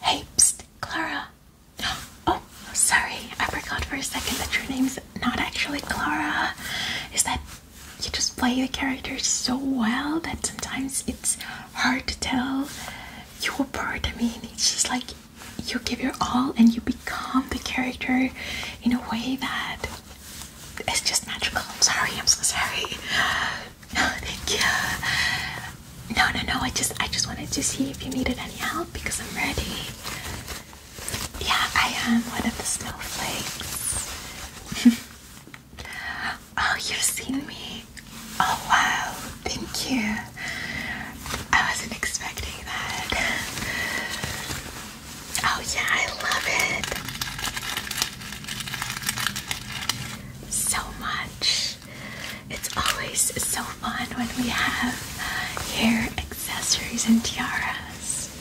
Hey, Clara. Oh, sorry, I forgot for a second that your name's not actually Clara. Is that you just play the character so well that sometimes it's hard to tell your part. I mean, it's just like you give your all and you become the character in a way that it's just magical. I'm sorry, I'm so sorry. No, thank you. No, no, no. I just, I just wanted to see if you needed any help because I'm ready. Yeah, I am one of the snowflakes. oh, you've seen me. Oh wow, thank you. I wasn't expecting that. Oh yeah, I love it so much it's always so fun when we have uh, hair accessories and tiaras.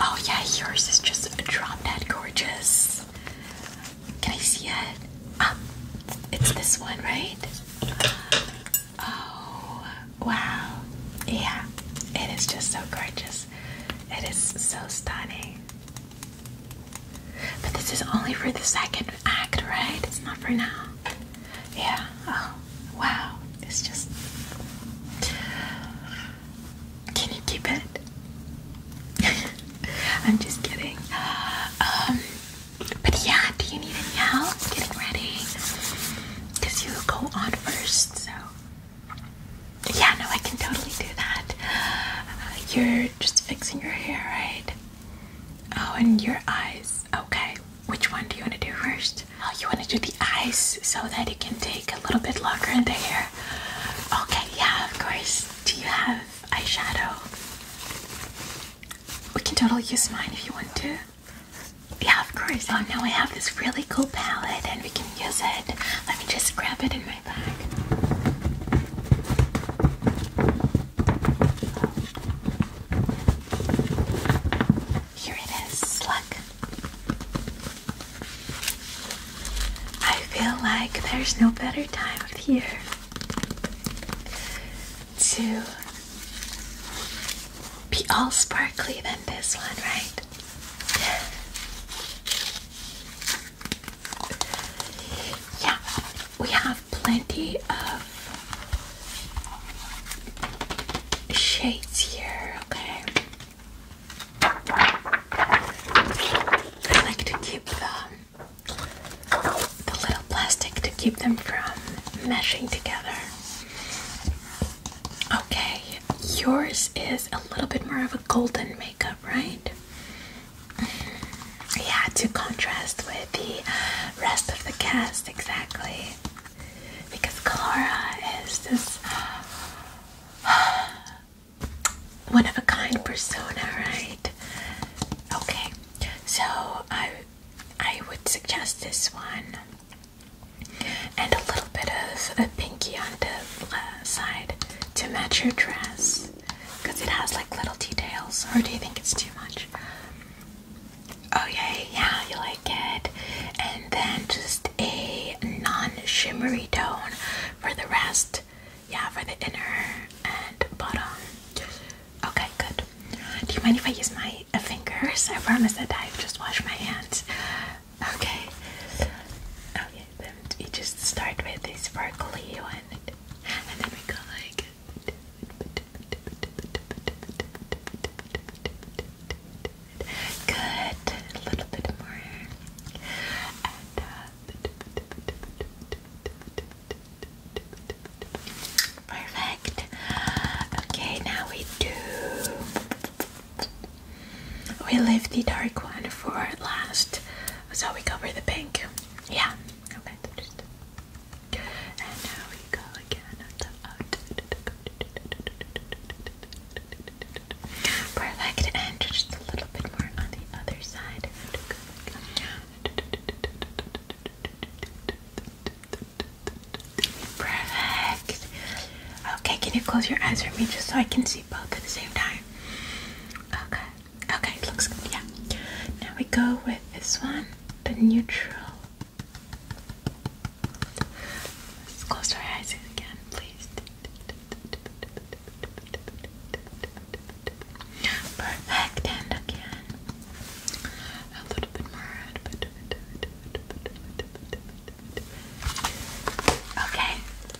Oh, yeah, yours is just drop dead gorgeous. Can I see it? Um, it's this one, right? Oh, wow. Yeah, it is just so gorgeous. It is so stunning. But this is only for the second act, right? It's not for now. Yeah. Oh, wow. It's just. Can you keep it? I'm just kidding. Um, but yeah, do you need any help getting ready? Because you go on first, so. Yeah, no, I can totally do that. Uh, you're just fixing your hair, right? Oh, and your eyes. Okay, which one do you want to do first? Oh, you want to do the eyes so that it can take a little bit longer in the hair? Okay, yeah, of course. Do you have eyeshadow? We can totally use mine if you want to. Yeah, of course. Oh, now I have this really cool palette, and we can use it. Let me just grab it in my bag. Here it is. Look. I feel like there's no better time of year to be all sparkly than this one, right? Yeah, we have plenty of shades here, okay? I like to keep the, the little plastic to keep them from meshing together. Okay, yours is a little bit more of a golden makeup up, right? Yeah, to contrast with the uh, rest of the cast, exactly. Because Clara is this one of a kind persona, right? Okay, so I I would suggest this one and a little bit of uh, pinky on the uh, side to match your dress because it has like little details. Or do you think it's too much? Oh yeah, yeah, you like it. And then just a non-shimmery tone for the rest. Yeah, for the inner and bottom. Okay, good. Do you mind if I use my fingers? I promise that I've just washed my hands. Okay. Oh them you just start with this sparkly one and then we go like good a little bit more and uh, perfect okay now we do we leave the dark one for last, so we cover the pink. Yeah, okay. And now we go again on the out. Perfect, and just a little bit more on the other side. Perfect. Okay, can you close your eyes for me just so I can see both at the same time? Okay. Okay, looks good. Yeah. Now we go with this one, the neutral. Let's close our eyes again, please. Perfect. And again. A little bit more. Okay.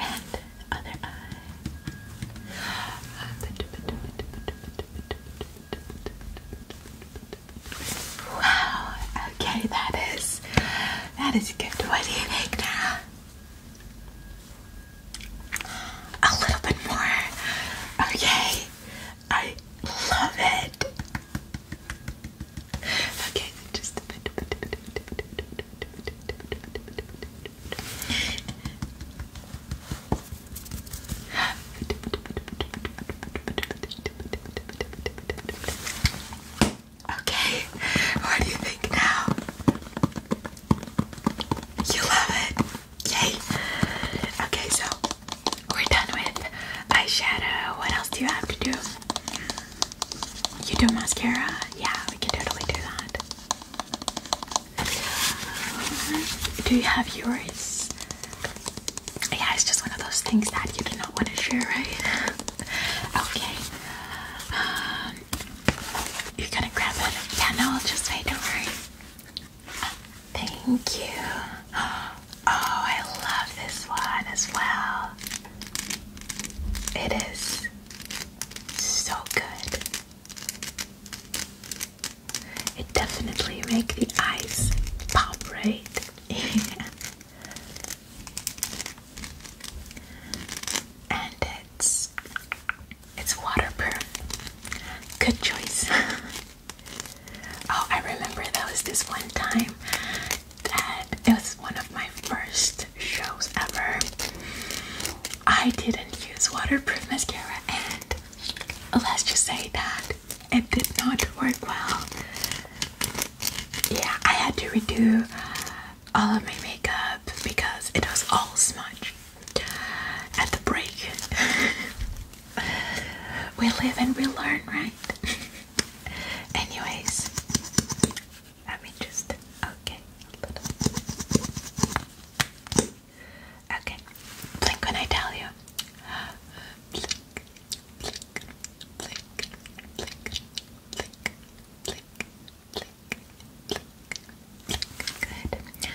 and other eye. Wow. Okay, that is that is good. What do you think now? A little bit more. Okay. I love it. Okay, Okay, what do you think now? You love it? Yay! Okay, so we're done with eyeshadow. What else do you have to do? You do mascara? Yeah, we can totally do that. Um, do you have yours? Yeah, it's just one of those things that you do not want to share, right? okay. Um, you're gonna grab it. Yeah, no, I'll just say, don't worry. Thank you. Oh, I love this one as well. It is so good. It definitely make the eyes pop, right? and it's it's waterproof. Good choice. Oh, I remember that was this one time that it was one of my first shows ever. I didn't use waterproof mascara, and let's just say that it did not work well. Yeah, I had to redo all of my makeup because it was all smudged at the break. we live and we learn, right? Anyways, let me just okay Okay, blink when I tell you. Blink, blink, blink, blink, blink, blink, blink, blink, blink. Good.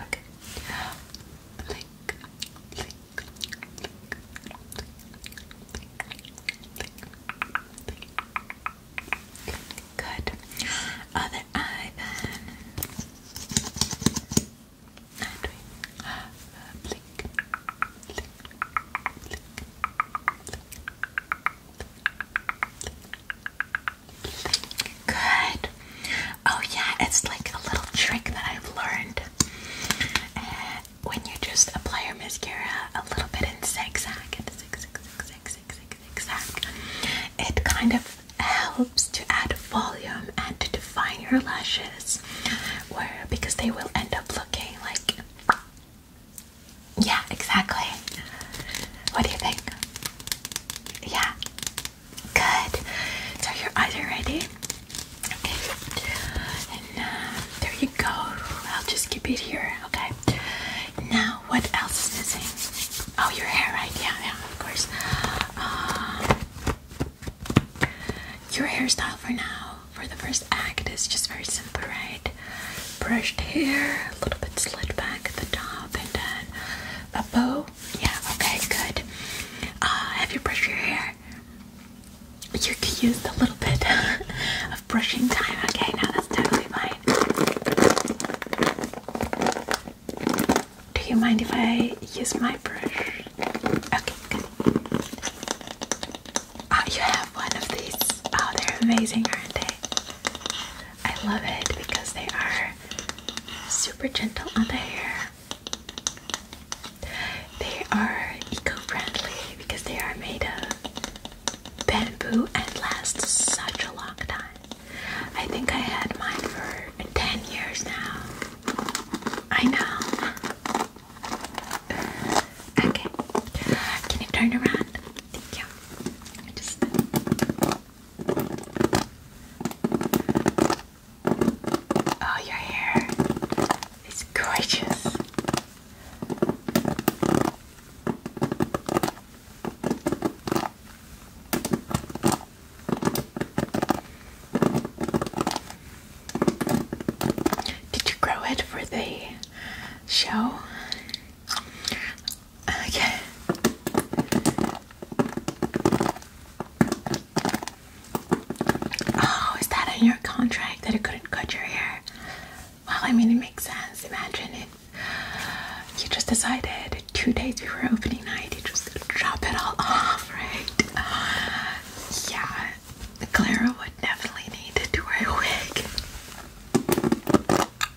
Okay. Blink, blink, blink, blink, blink, Good. Other eye then. And we blink, blink, blink, blink, blink, Good. Oh, yeah, it's like a little trick that I've learned. Uh, when you just apply your mascara a little bit in zigzag, zigzag, zigzag, zigzag, it kind of helps to add volume and to define your lashes, where because they will end up looking like yeah, exactly. What do you think? Yeah. Good. So your eyes are ready. Okay. And uh, there you go. I'll just keep it here. Okay. Now, what else is missing? Oh, your hair, right? Yeah, yeah, of course. Um, your hairstyle for now, for the first act, is just very simple, right? brushed hair, a little bit slid back at the top, and then a bow. Yeah, okay, good. Uh, have you brushed your hair? You could use a little bit of brushing time. Okay, now that's totally fine. Do you mind if I use my brush? Okay, good. Ah, you have one of these. Oh, they're amazing, aren't they? I love it because they are super gentle on the hair. They are eco-friendly because they are made of bamboo and last such a long time. I think I had mine for 10 years now. I know. Okay. Can you turn around? yeah, I Oh, your hair is gorgeous. Did you grow it for the show? Okay. Oh, is that in your contract that it couldn't cut your hair? Well, I mean, it makes sense. Imagine if You just decided two days before opening night, you just drop it all off, right? yeah, Clara would definitely need to do a wig.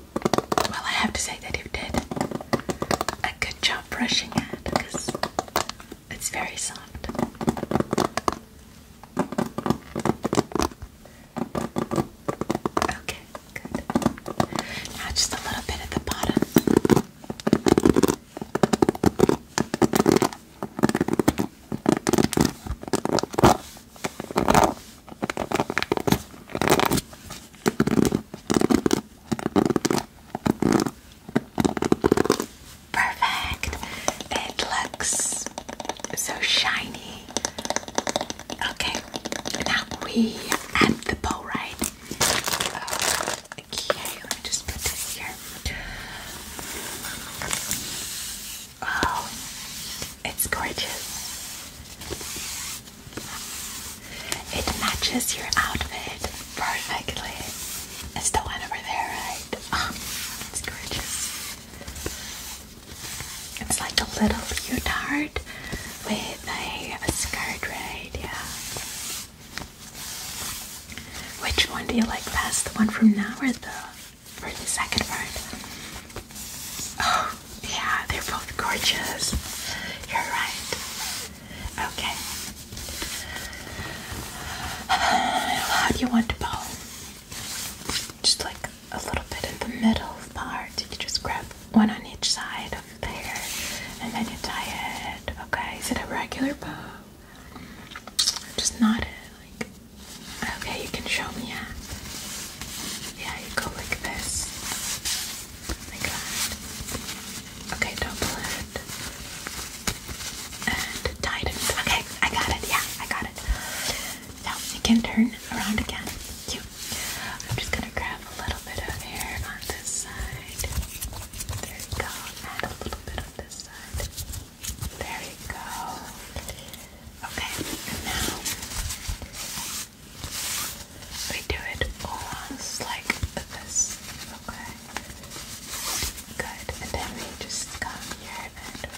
Well, I have to say that you did a good job brushing it because it's very soft. Okay, good. Now just a little bit at the bottom. Perfect. It looks so shiny. Okay, now we add the bow, Okay, let me just put this here. Oh, it's gorgeous. It matches your outfit perfectly. It's the one over there, right? Oh, it's gorgeous. It's like a little leotard with a, a right? Yeah. Which one do you like best? The one from now or the, or the second part? Oh, yeah, they're both gorgeous. You're right. Okay. How do you want to bow? Just like a little bit in the middle part. You just grab one on each side of the hair and then you tie it. Okay, is it a regular bow? Just knot it. Like, okay, you can show me. Yeah, you go like this. Oh okay, double it. And tighten it. Okay, I got it. Yeah, I got it. Now you can turn around again. I'm just gonna grab a little bit of hair on this side. There you go. Add a little bit on this side. There you go. Okay, and now we do it almost like this, okay? Good, and then we just come here and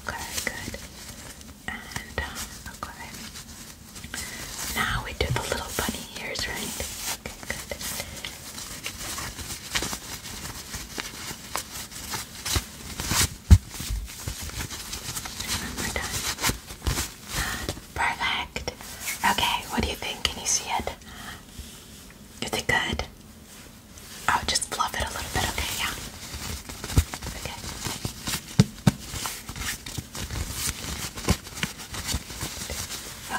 Okay, good. And um, okay. Now we do the little bunny ears, right? Okay, good. Perfect. Okay, what do you think? Can you see it? Is it good? Oh, just fluff it a little bit, okay, yeah.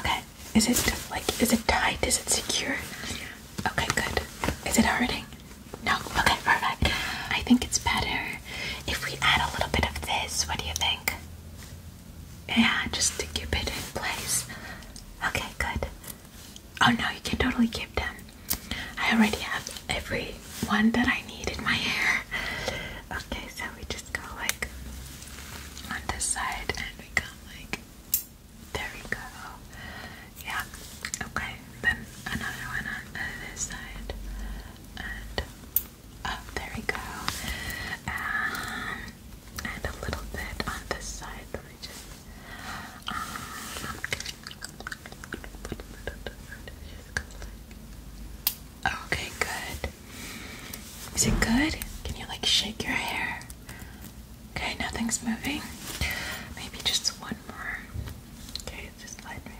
Okay. Okay. Is it like is it tight? Is it secure? Okay, good. Is it hurting? No? Okay, perfect. I think it's better if we add a little bit of this. What do you think? Yeah, just to keep it in place. Okay, good. Oh no, you can totally keep them. I already have every one that I need in my hair. Okay, so we just go like on this side and we go like. There we go. Yeah. Okay. Then another one on this side. And There we go. Um, and a little bit on this side. Um, okay, good. Is it good? Can you like shake your hair? Okay, nothing's moving. Maybe just one Okay, just let me.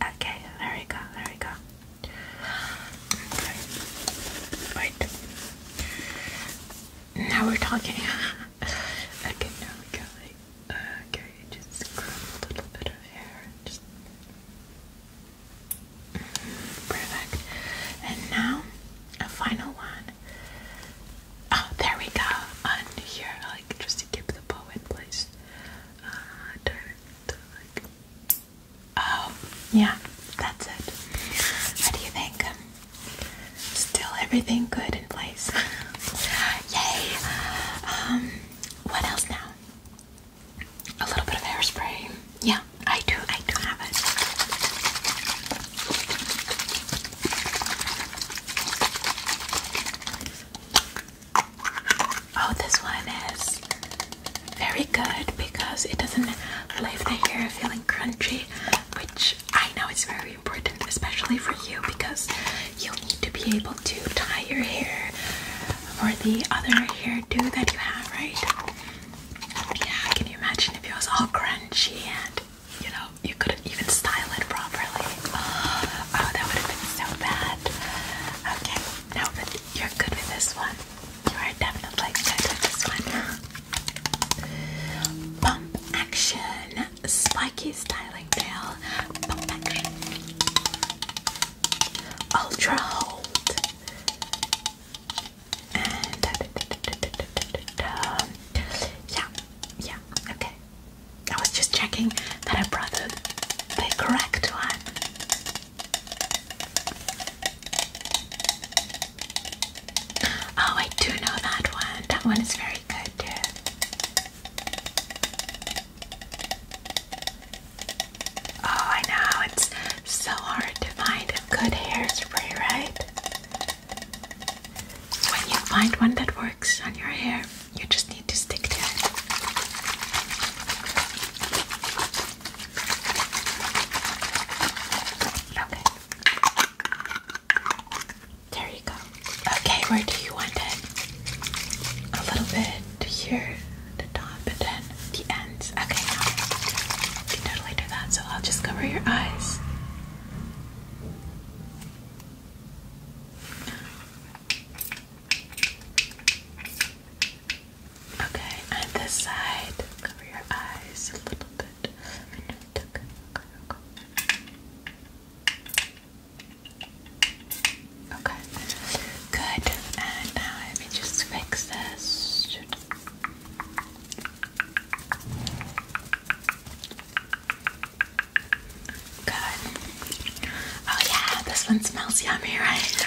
Okay, there we go, there we go. Okay. Wait. Now we're talking. okay, now we go. Like, okay, just a little bit of hair. Just perfect. And now a final one. Oh, there we go. On here, like just to keep the bow in place. Uh, direct, like. Oh, yeah, that's it. What do you think? Still everything good in place. Yay! Um, what else now? A little bit of hairspray. Yeah, I do. I do have it. Oh, this one is very good because it doesn't leave the hair feeling crunchy, which I know is very important, especially for you because you need to be able to tie your hair for the other hairdo that you have, right? Yeah, can you imagine if it was all crunchy and you know, you couldn't even style it properly. Uh, oh, that would have been so bad. Okay, now but you're good with this one, you are definitely good with this one. Bump action, spiky styling tail, bump action, ultra hold, and. Yeah, yeah, okay. I was just checking that I brought the, correct one. Oh, I do know that one. That one is very good, too. Oh, I know. It's so hard to find good hairspray, right? When you find one that works on your hair, you just need to stick to it. Okay. There you go. Okay, where do you want it? A little bit here, the top, and then the ends. Okay, you totally do that. So I'll just cover your eyes. Okay, and this side, cover your eyes a little bit. Okay, good. And now let me just fix this. Good. Oh yeah, this one smells yummy, right?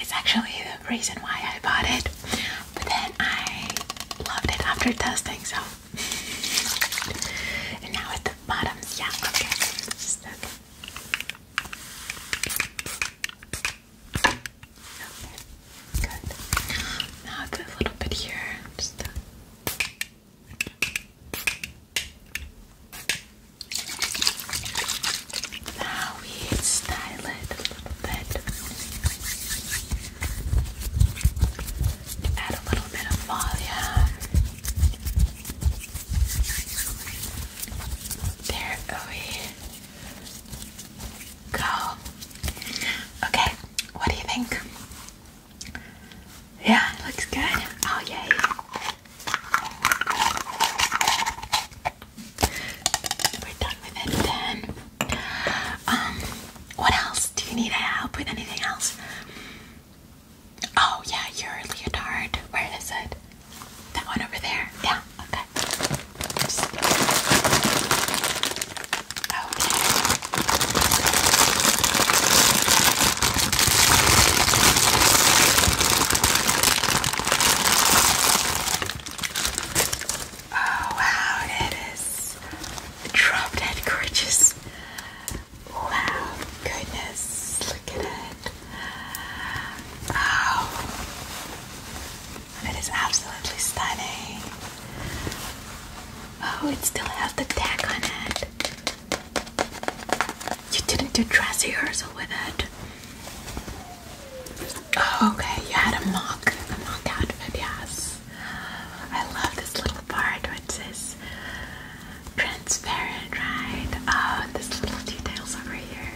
It's actually the reason why I bought it, but then I loved it after testing, so. And now at the bottoms, yeah, okay. okay. Okay. Good. Now a little bit here. Now we style it a little bit. Add a little bit of volume. There, oh go. Okay, what do you think? Yeah, looks good. Oh, yay. We're done with it then. Um, what else? Do you need help with anything else? Oh, yeah, your leotard. Where is it? That one over there. Yeah, okay. Oh wow, it is drop dead gorgeous. Wow, goodness, look at it. Oh, it is absolutely stunning. Oh, it still has the tag on it. You didn't do dress rehearsal with it. Oh, okay, you had a mock, a mock outfit, yes. I love this little part which is transparent, right? Oh, and this little details over here.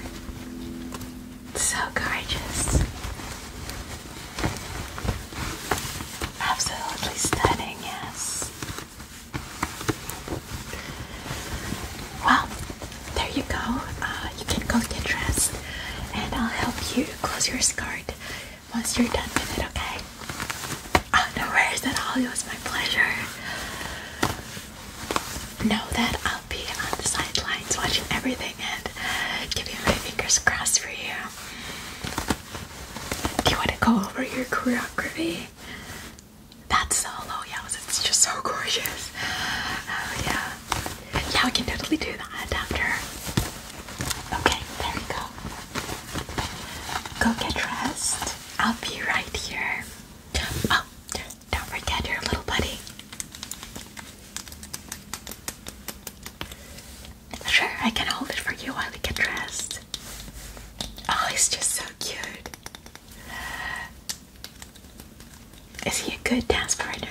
So gorgeous. Absolutely stunning, yes. Well, there you go. Uh, you can go get dressed, and I'll help you close your skirt once you're done with it, okay? Oh, no worries at all. It was my pleasure. Know that I'll be on the sidelines watching everything and giving my fingers crossed for you. Do you want to go over your choreography? That solo, yeah, it's just so gorgeous. Oh, yeah. Yeah, we can totally do that after. Okay, there we go. Go get dressed. I'll be right here. Oh, don't forget your little buddy. Sure, I can hold it for you while we get dressed. Oh, he's just so cute. Is he a good dance partner?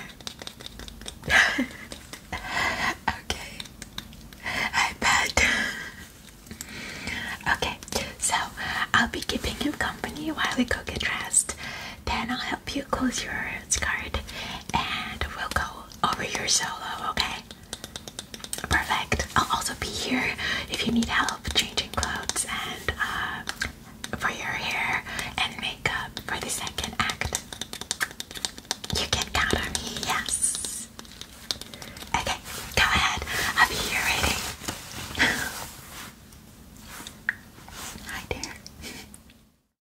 okay. I bet. okay, so I'll be keeping him company while we go get dressed. Then I'll help you close your skirt and we'll go over your solo, okay? Perfect. I'll also be here if you need help changing clothes and uh, for your hair and makeup for the second act. You can count on me, yes. Okay, go ahead. I'll be here waiting. Hi, dear.